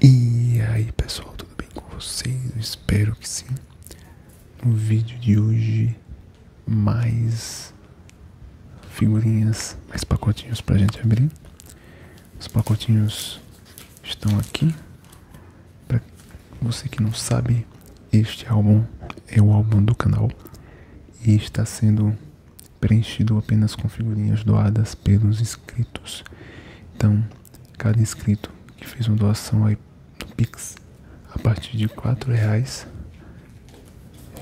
E aí pessoal, tudo bem com vocês? espero que sim. No vídeo de hoje, mais figurinhas, mais pacotinhos pra gente abrir. Os pacotinhos estão aqui. Para você que não sabe, este álbum é o álbum do canal e está sendo preenchido apenas com figurinhas doadas pelos inscritos. Então, cada inscrito que fez uma doação aí no Pix a partir de R$ reais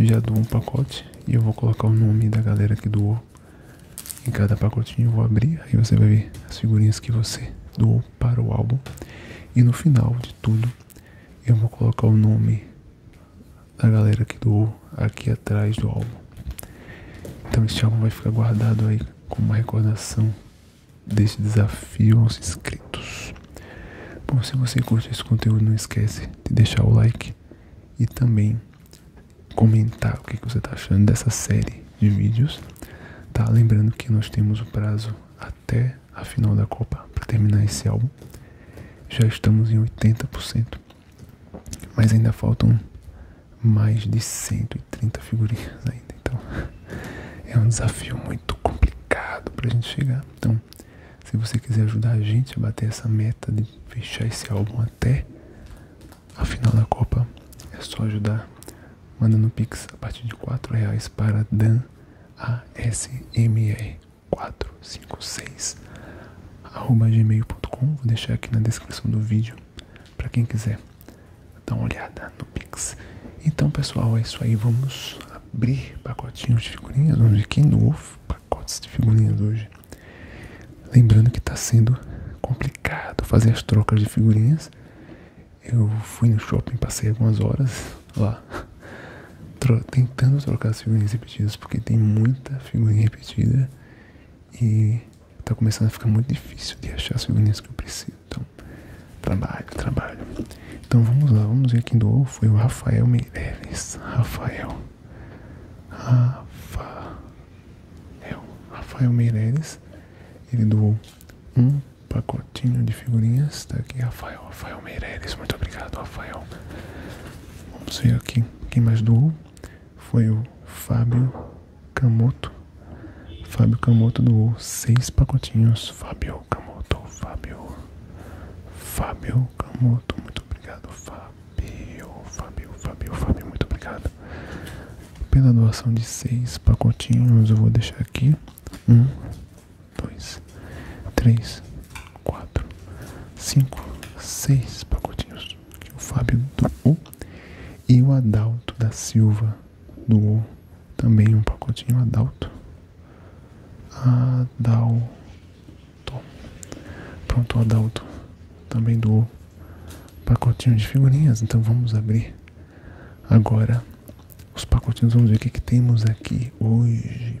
já dou um pacote e eu vou colocar o nome da galera que doou em cada pacotinho. Eu vou abrir e você vai ver as figurinhas que você doou para o álbum. E no final de tudo, eu vou colocar o nome da galera que doou aqui atrás do álbum. Então este álbum vai ficar guardado aí como uma recordação deste desafio aos inscritos. Bom, se você curte esse conteúdo, não esquece de deixar o like e também comentar o que você está achando dessa série de vídeos. Tá? Lembrando que nós temos o prazo até a final da Copa para terminar esse álbum. Já estamos em 80%. Mas ainda faltam mais de 130 figurinhas ainda. Então é um desafio muito complicado para a gente chegar. Então, se você quiser ajudar a gente a bater essa meta de fechar esse álbum até a final da Copa, é só ajudar mandando pix a partir de 4 reais para Dan ASMR 456 gmail.com, vou deixar aqui na descrição do vídeo para quem quiser dar uma olhada no Pix. Então pessoal, é isso aí, vamos abrir pacotinhos de figurinhas, vamos ver que novo pacotes de figurinhas hoje. Lembrando que está sendo complicado fazer as trocas de figurinhas. Eu fui no shopping, passei algumas horas lá tentando trocar as figurinhas repetidas, porque tem muita figurinha repetida e está começando a ficar muito difícil de achar as figurinhas que eu preciso. Então, trabalho, trabalho. Então vamos lá, vamos ver quem doou. Foi o Rafael Meireles. Rafael. Rafael. Rafael Meireles. Ele doou um pacotinho de figurinhas. Tá aqui, Rafael. Rafael Meireles. Muito obrigado, Rafael. Vamos ver aqui quem mais doou foi o Fábio Camoto. Fábio Camoto doou seis pacotinhos. Fábio Camoto, Fábio. Fábio Camoto, muito obrigado, Fábio. Fábio, Fábio, Fábio, muito obrigado. Pela doação de seis pacotinhos, eu vou deixar aqui. Um, dois, três, quatro, cinco, seis pacotinhos o Fábio do O e o Adalto da Silva do O também um pacotinho Adalto. Adalto. Pronto, o Adalto também do O Pacotinho de figurinhas, então vamos abrir agora os pacotinhos. Vamos ver o que, que temos aqui hoje.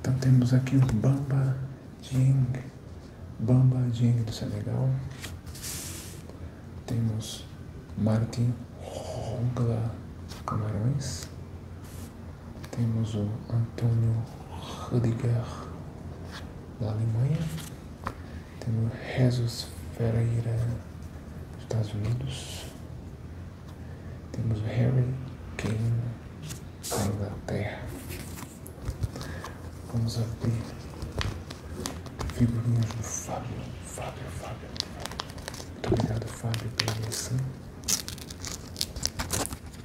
Então temos aqui o Bamba Jing, Bamba Jing do Senegal. Temos Martin Rongla Camarões. Temos o Antônio Rudiger da Alemanha, temos Rezos Ferreira, dos Estados Unidos, temos Harry Kane, da Inglaterra. Vamos abrir figurinhas do Fábio. Fábio, Fábio. Muito obrigado, Fábio, pela missão.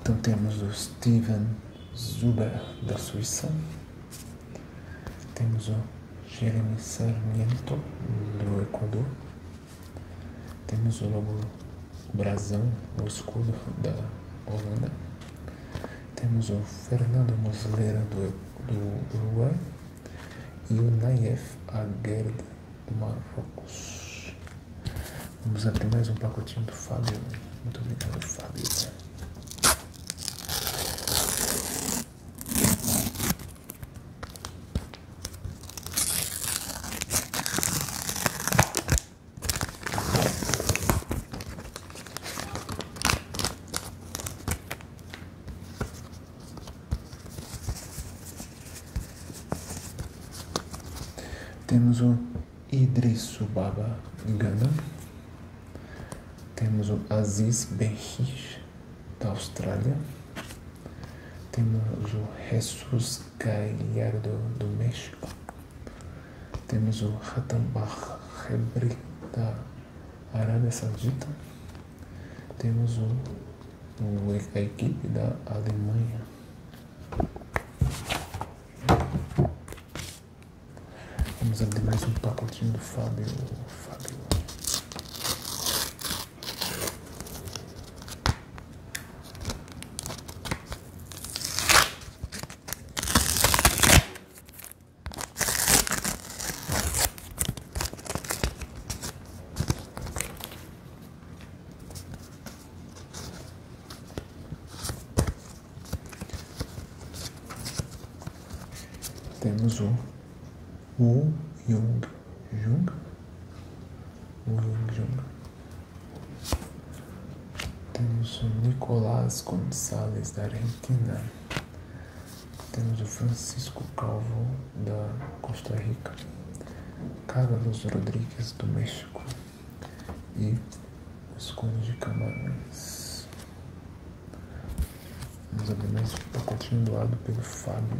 Então temos o Steven Zuber da Suíça, temos o Jeremy Sarmiento do Equador, temos o lobo brasão, o escudo da Holanda, temos o Fernando Muslera do, do Uruguai e o Nayef Aguerd do Marrocos. Vamos abrir mais um pacotinho do Fábio. Muito obrigado, Fábio. Temos o Idrisu Baba Gandam. Temos o Aziz Berris, da Austrália. Temos o Jesus Gallardo, do México. Temos o Ratambah Hebri, da Arábia Saudita. Temos o, o, a equipe da Alemanha Vamos abrir mais um pacotinho do Fábio. Fábio. Temos o Wu Jung Jung. Wu Jung Jung. Temos o Nicolás Gonçalves da Argentina. Temos o Francisco Calvo da Costa Rica. Carlos Rodrigues do México e escolha de camarões. Vamos abrir mais um pacotinho doado pelo Fábio.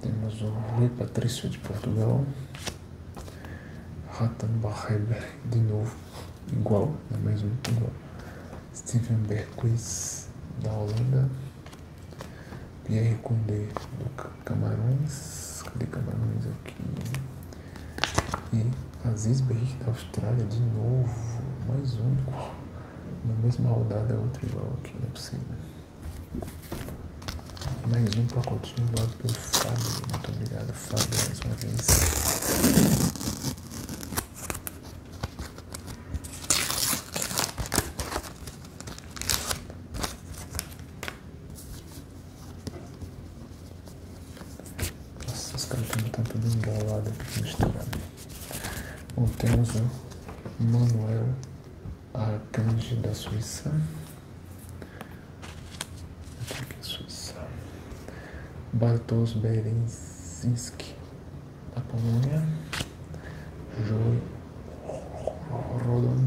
Temos o Rui Patrício de Portugal. Ratan Barreb, de novo, igual, é mesmo igual. Steven Berquist, da Holanda. Pierre Condé, do Camarões. Cadê Camarões aqui? E Aziz Bey, da Austrália, de novo, mais um. Na mesma rodada, é outro igual aqui, não é possível. Mais um pacotinho doado pelo Fábio. Muito obrigado, Fábio, mais uma vez. Nossa, os caras estão tudo embolado aqui misturado. Bom, temos Manuel Arcanjo da Suíça. Aqui é Suíça. Bartosz Berezinski da Polônia. Joy Rodon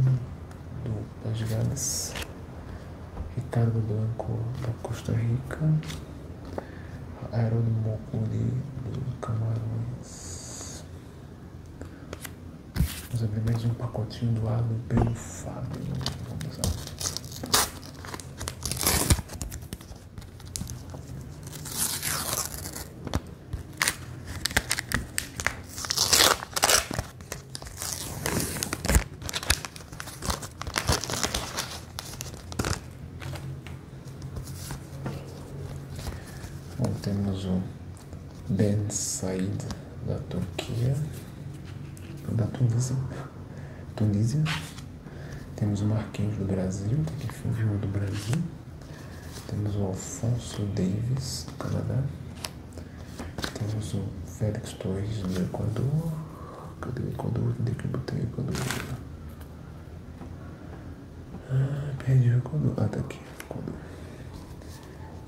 das Las Ricardo Blanco da Costa Rica. Aerónimo Curi do Camarões. Vamos abrir mais um pacotinho doado pelo Fábio. Vamos lá temos o Ben Said da Turquia, da Tunísia, Temos o Marquinhos do Brasil, que é do Brasil. Temos o Alfonso Davis do Canadá. Temos o Félix Torres do Equador. Cadê o Equador? Onde é que eu botei o Equador? Ah, perdi o Kodu. Ah, tá aqui. Kodu.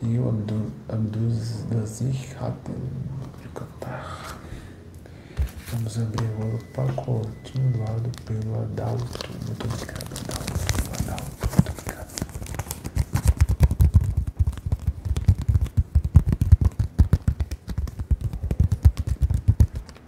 E o Abdu, Abduzazir Hatem Vamos abrir agora o pacotinho lado pelo Adalto. Muito obrigado, Adalto. Adalto, muito obrigado.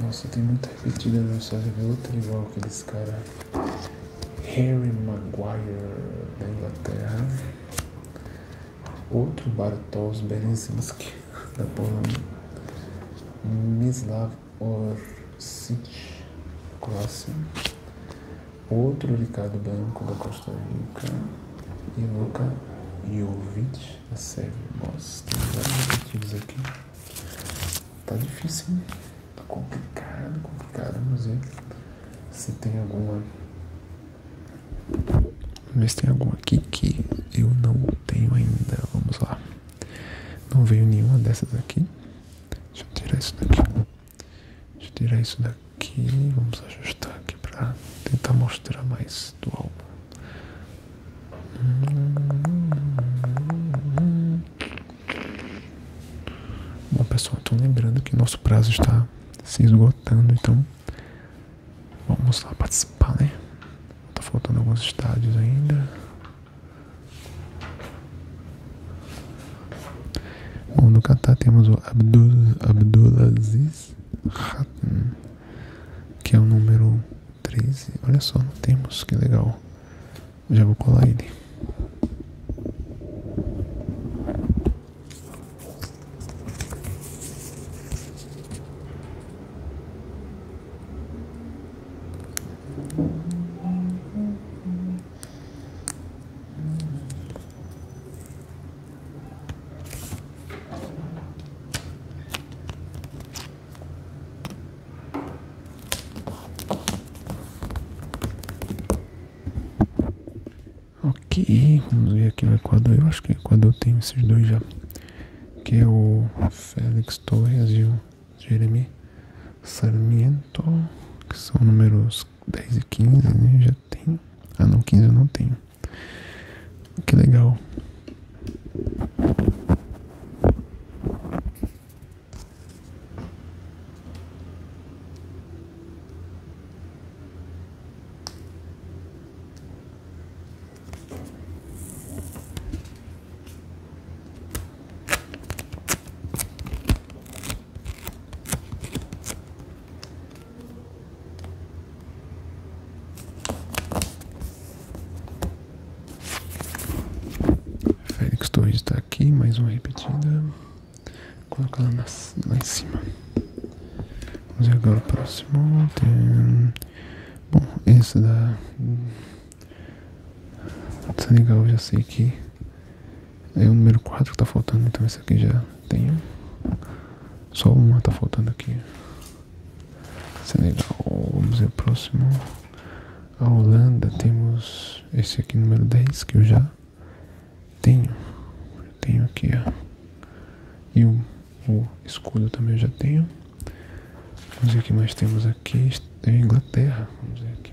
Nossa, tem muita repetida no Instagram. ver é outro igual aqueles caras. Harry Maguire da Inglaterra. Outro Bartosz Berezinski da Polônia. Mislav Orsic, Croácia outro Ricardo Branco da Costa Rica e Luca Jovic da Sérvia. Nossa, tem vários objetivos aqui. Tá difícil, hein? Tá complicado, complicado. Vamos ver se tem alguma. Vamos ver se tem alguma aqui que eu não tenho ainda. Vamos lá. Não veio nenhuma dessas aqui. Deixa eu tirar isso daqui. Deixa tirar isso daqui. Vamos ajustar aqui para tentar mostrar mais do álbum. Bom pessoal, então lembrando que nosso prazo está se esgotando, então vamos lá participar, né? Tá faltando alguns estádios ainda. Bom, do Catar temos o Abdul, Abdulaziz Hatton, que é o número treze. Olha só, não temos, que legal. Já vou colar ele. Ok, vamos ver aqui o Equador. Eu acho que o Equador tem esses dois já. Que é o Félix Torres e o Jeremy Sarmiento, que são números dez e quinze, né? Já tem. Ah, não, 15 eu não tenho. Que legal. Félix Torres está aqui, mais uma repetida. Coloca ela na, lá em cima. Vamos ver agora o próximo. Tem... Bom, esse da. Senegal eu já sei que é o número 4 que tá faltando, então esse aqui já tenho Só uma tá faltando aqui. Senegal é Vamos ver o próximo. A Holanda temos esse aqui número 10 que eu já tenho. tenho aqui, ó. E o, o escudo também eu já tenho. Vamos ver o que mais temos aqui. Inglaterra. Vamos ver aqui.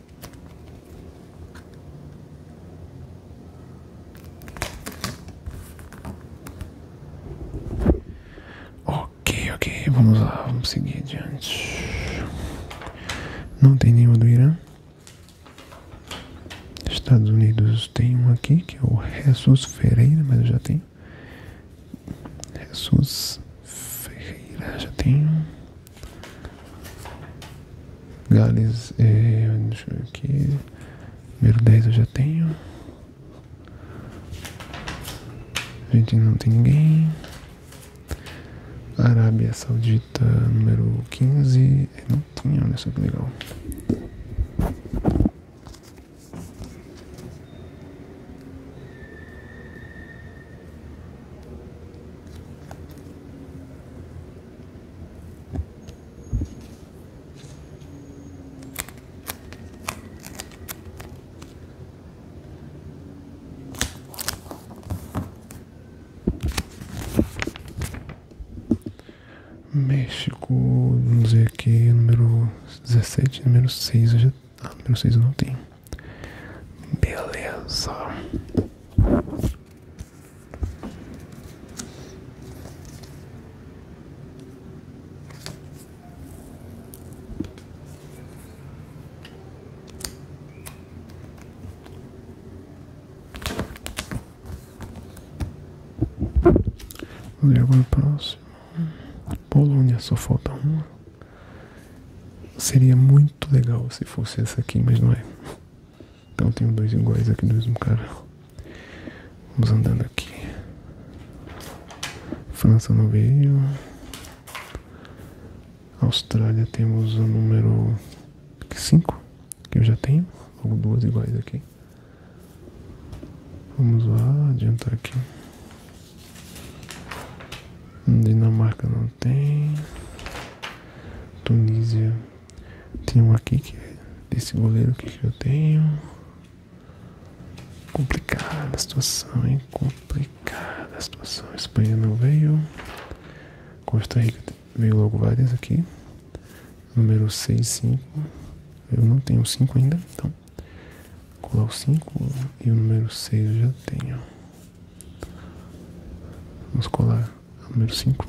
Ok, ok, vamos lá, vamos seguir adiante. Não tem nenhuma do Irã. Estados Unidos tem um aqui que é o Jesus Ferreira, mas eu já tenho. Jesus Ferreira, já tenho. Gales, eh, deixa eu aqui. Número dez eu já tenho. A gente não tem ninguém. Arábia Saudita, número quinze. Eh, não tinha, olha só que legal. México, vamos dizer aqui, número dezessete, número seis, eu já, ah, número seis eu não tenho. Beleza. Vamos ver agora o próximo. Polônia, só falta uma. Seria muito legal se fosse essa aqui, mas não é. Então tenho dois iguais aqui do mesmo cara. Vamos andando aqui. França não veio. Austrália temos o número 5, que eu já tenho. Ou duas iguais aqui. Vamos lá, adiantar aqui. Dinamarca não tem. Tunísia. Tem um aqui que é desse goleiro que eu tenho. Complicada a situação, hein? Complicada a situação. Espanha não veio. Costa Rica veio logo várias aqui. Número 6, 5. Eu não tenho 5 ainda, então. Vou colar o 5 e o número 6 eu já tenho. Vamos colar o número 5.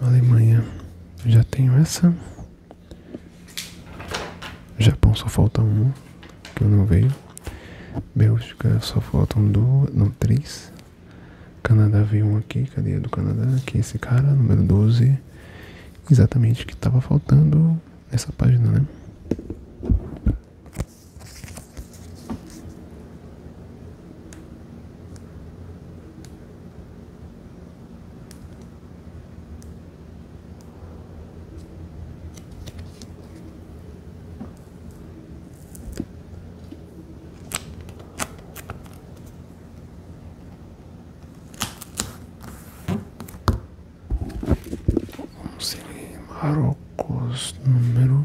Alemanha, já tenho essa. Japão só falta um, que eu não veio. Bélgica só falta um do não, três. Canadá veio um aqui, cadê do Canadá? que esse cara, número 12. Exatamente o que estava faltando nessa página, né? Marrocos número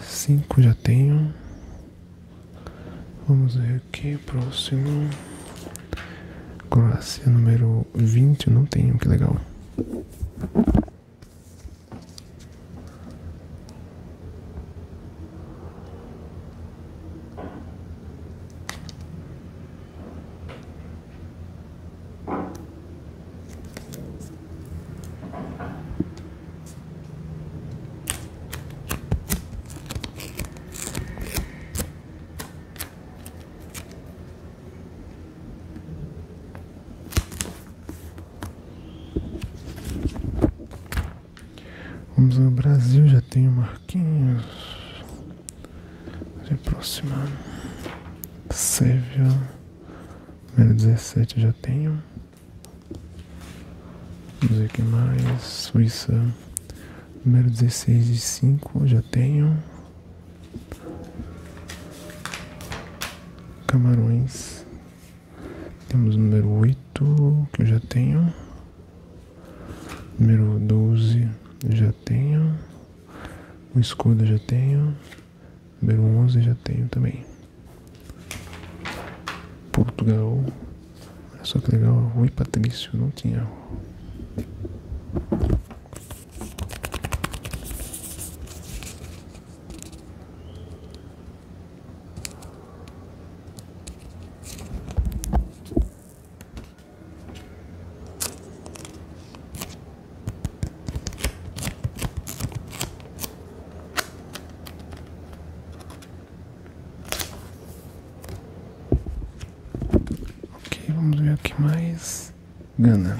cinco já tenho Vamos ver aqui, próximo. Croácia número 20, não tenho, que legal. Vamos ao Brasil, já tenho Marquinhos. Se aproximando. Save, número dezessete já tenho. Vamos ver o que mais. Suíça. Número 16 e 5, já tenho. Camarões. Temos o número 8, que eu já tenho. Número 12, já tenho. O escudo já tenho. Número 11 já tenho também. Portugal. Olha só que legal, Rui Patrício, não tinha. Ok, vamos ver aqui mais. Gana.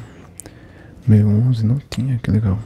Meu onze não tinha, que legal.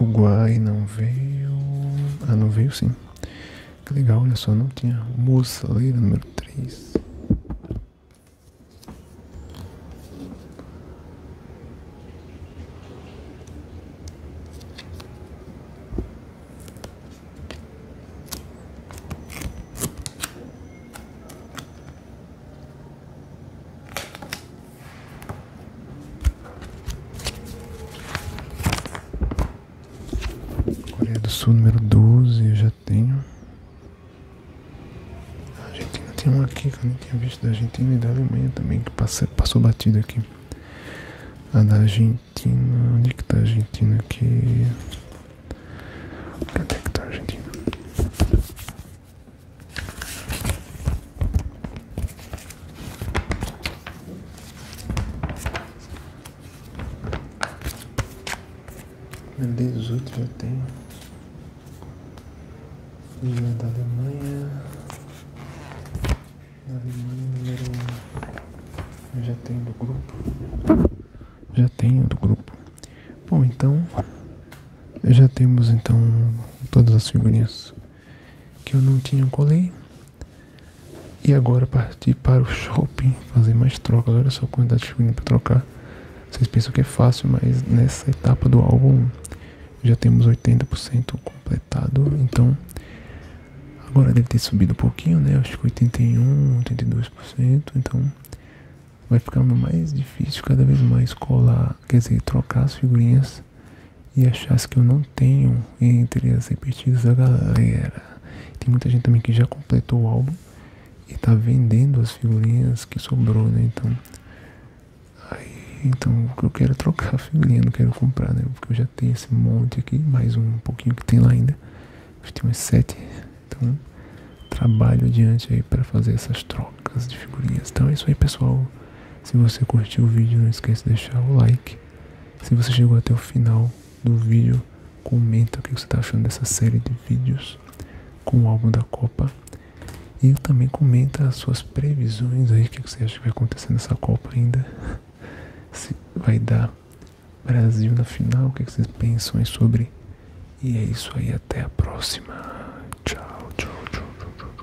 Uruguai não veio. Ah, não veio sim. Que legal, olha só, não tinha moçaleira né, número três. Coreia do Sul, número 12, eu já tenho. A Argentina tem uma aqui que eu nem tinha visto da Argentina e da Alemanha também, que passou batida aqui. A da Argentina, onde é que tá a Argentina aqui? Cadê que tá a Argentina? Dezoito já tenho. Liga da Alemanha. Alemanha número 1. já tenho do grupo. Já tenho do grupo. Bom, então. Já temos então todas as figurinhas que eu não tinha colei. E agora partir para o shopping, fazer mais trocas. Olha só a quantidade de figurinhas para trocar. Vocês pensam que é fácil, mas nessa etapa do álbum já temos 80% completado. Então agora deve ter subido um pouquinho, né? Acho que 81%, 82%. Então vai ficar mais difícil cada vez mais colar, quer dizer, trocar as figurinhas e achasse que eu não tenho entre as repetidas da galera. Tem muita gente também que já completou o álbum e tá vendendo as figurinhas que sobrou, né? Então, aí, então eu quero é trocar a figurinha, não quero comprar, né? Porque eu já tenho esse monte aqui, mais um pouquinho que tem lá ainda. Acho que tem umas sete. Então, trabalho adiante aí para fazer essas trocas de figurinhas. Então é isso aí, pessoal. Se você curtiu o vídeo, não esquece de deixar o like se você chegou até o final do vídeo, comenta o que você está achando dessa série de vídeos com o álbum da Copa. E também comenta as suas previsões aí, o que você acha que vai acontecer nessa Copa ainda. Se vai dar Brasil na final, o que vocês pensam aí sobre. E é isso aí, até a próxima. Tchau, tchau, tchau. tchau, tchau.